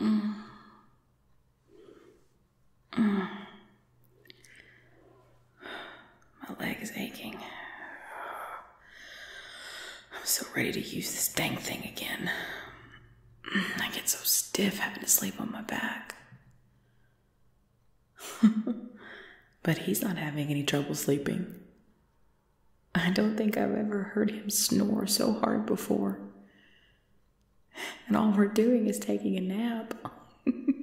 Mm. My leg is aching. I'm so ready to use this dang thing again. I get so stiff having to sleep on my back. but he's not having any trouble sleeping. I don't think I've ever heard him snore so hard before. And all we're doing is taking a nap.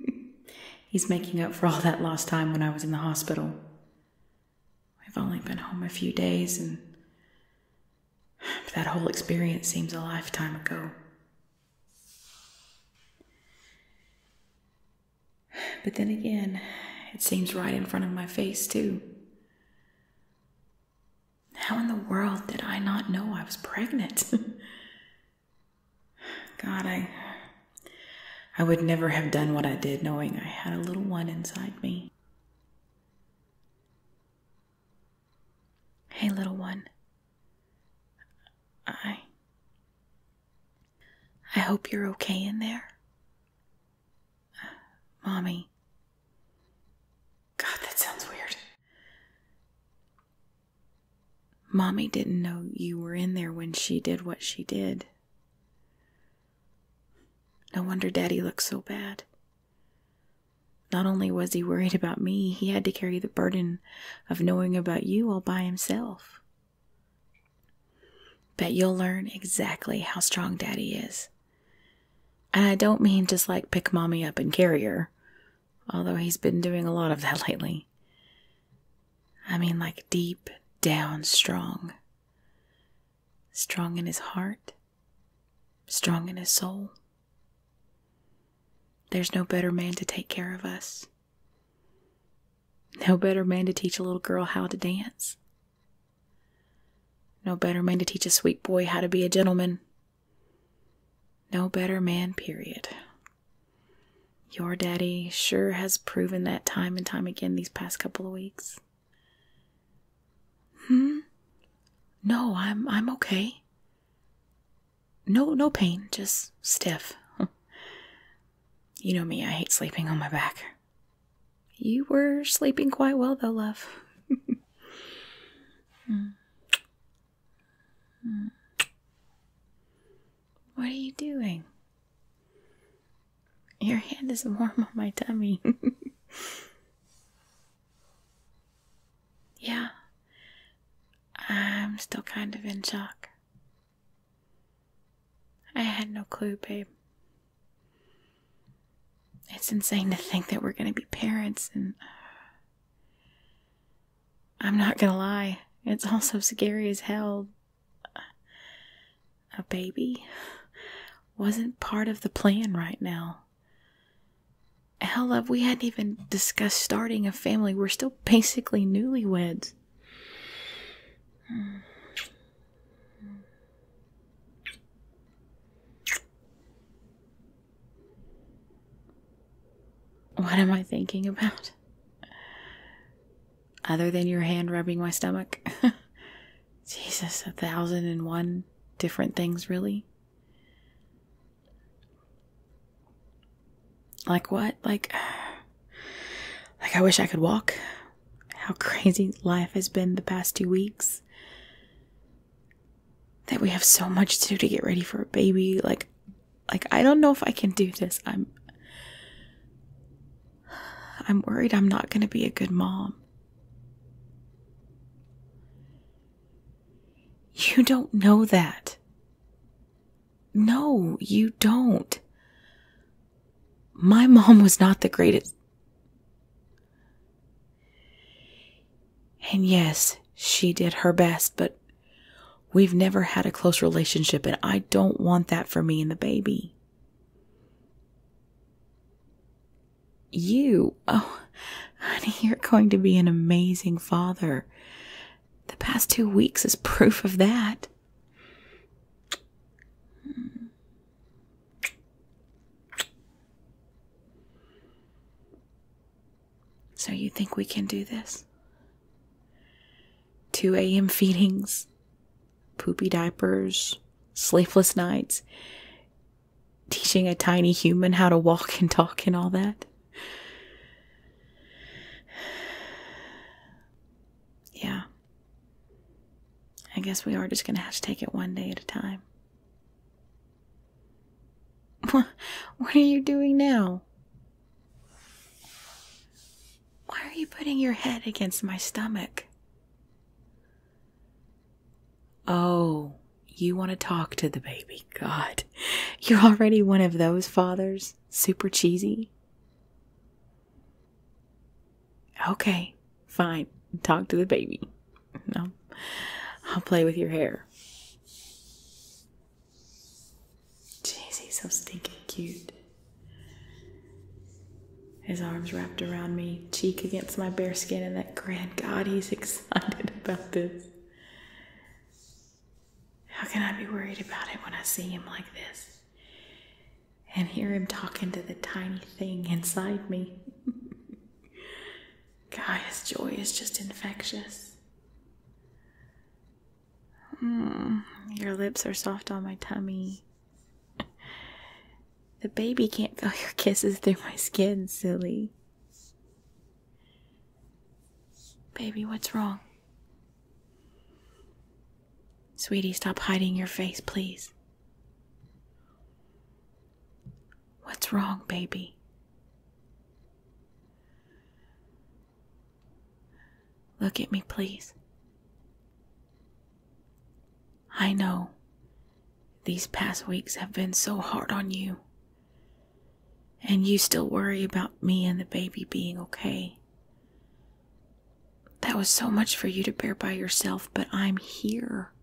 He's making up for all that lost time when I was in the hospital. we have only been home a few days, and that whole experience seems a lifetime ago. But then again, it seems right in front of my face, too. How in the world did I not know I was pregnant? God, I. I would never have done what I did knowing I had a little one inside me. Hey, little one. I. I hope you're okay in there. Mommy. God, that sounds weird. Mommy didn't know you were in there when she did what she did. No wonder Daddy looked so bad. Not only was he worried about me, he had to carry the burden of knowing about you all by himself. Bet you'll learn exactly how strong Daddy is. And I don't mean just like pick Mommy up in carrier, although he's been doing a lot of that lately. I mean like deep down strong. Strong in his heart, strong in his soul. There's no better man to take care of us. No better man to teach a little girl how to dance. No better man to teach a sweet boy how to be a gentleman. No better man, period. Your daddy sure has proven that time and time again these past couple of weeks. Hmm? No, I'm I'm okay. No, no pain, just stiff. you know me, I hate sleeping on my back. You were sleeping quite well, though, love. What are you doing? Your hand is warm on my tummy. yeah, I'm still kind of in shock. I had no clue, babe. It's insane to think that we're going to be parents, and I'm not going to lie, it's all so scary as hell. A baby wasn't part of the plan right now. Hell, love, we hadn't even discussed starting a family. We're still basically newlyweds. What am I thinking about? Other than your hand rubbing my stomach? Jesus, a thousand and one different things, really? Like what? Like, like I wish I could walk. How crazy life has been the past two weeks. That we have so much to do to get ready for a baby. Like, like I don't know if I can do this. I'm, I'm worried I'm not gonna be a good mom. You don't know that. No, you don't. My mom was not the greatest. And yes, she did her best, but we've never had a close relationship, and I don't want that for me and the baby. You, oh, honey, you're going to be an amazing father. The past two weeks is proof of that. So, you think we can do this? 2 a.m. feedings, poopy diapers, sleepless nights, teaching a tiny human how to walk and talk and all that. Yeah. I guess we are just going to have to take it one day at a time. What are you doing now? Why are you putting your head against my stomach? Oh, you want to talk to the baby. God, you're already one of those fathers. Super cheesy. Okay, fine. Talk to the baby. I'll, I'll play with your hair. Jeez, he's so stinking cute. His arms wrapped around me, cheek against my bare skin, and that grand God, he's excited about this. How can I be worried about it when I see him like this? And hear him talking to the tiny thing inside me. God, his joy is just infectious. Mm, your lips are soft on my tummy the baby can't feel your kisses through my skin, silly. Baby, what's wrong? Sweetie, stop hiding your face, please. What's wrong, baby? Look at me, please. I know these past weeks have been so hard on you, and you still worry about me and the baby being okay. That was so much for you to bear by yourself, but I'm here,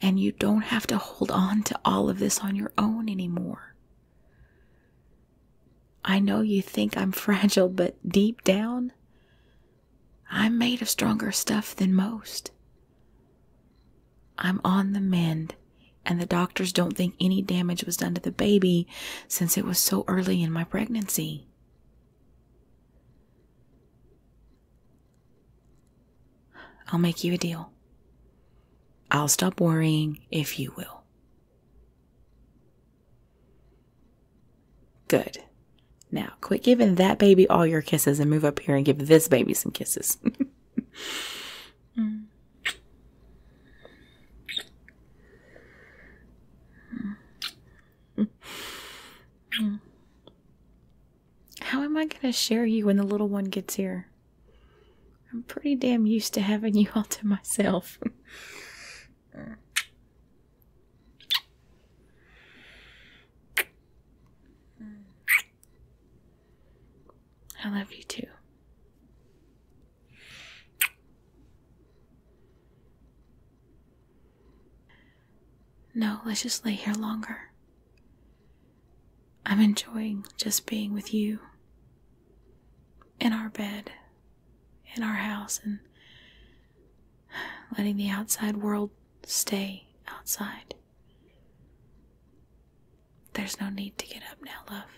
and you don't have to hold on to all of this on your own anymore. I know you think I'm fragile, but deep down, I'm made of stronger stuff than most. I'm on the mend, and the doctors don't think any damage was done to the baby since it was so early in my pregnancy. I'll make you a deal. I'll stop worrying if you will. Good. Now, quit giving that baby all your kisses and move up here and give this baby some kisses. How am I going to share you when the little one gets here? I'm pretty damn used to having you all to myself. I love you too. No, let's just lay here longer. I'm enjoying just being with you in our bed, in our house, and letting the outside world stay outside. There's no need to get up now, love.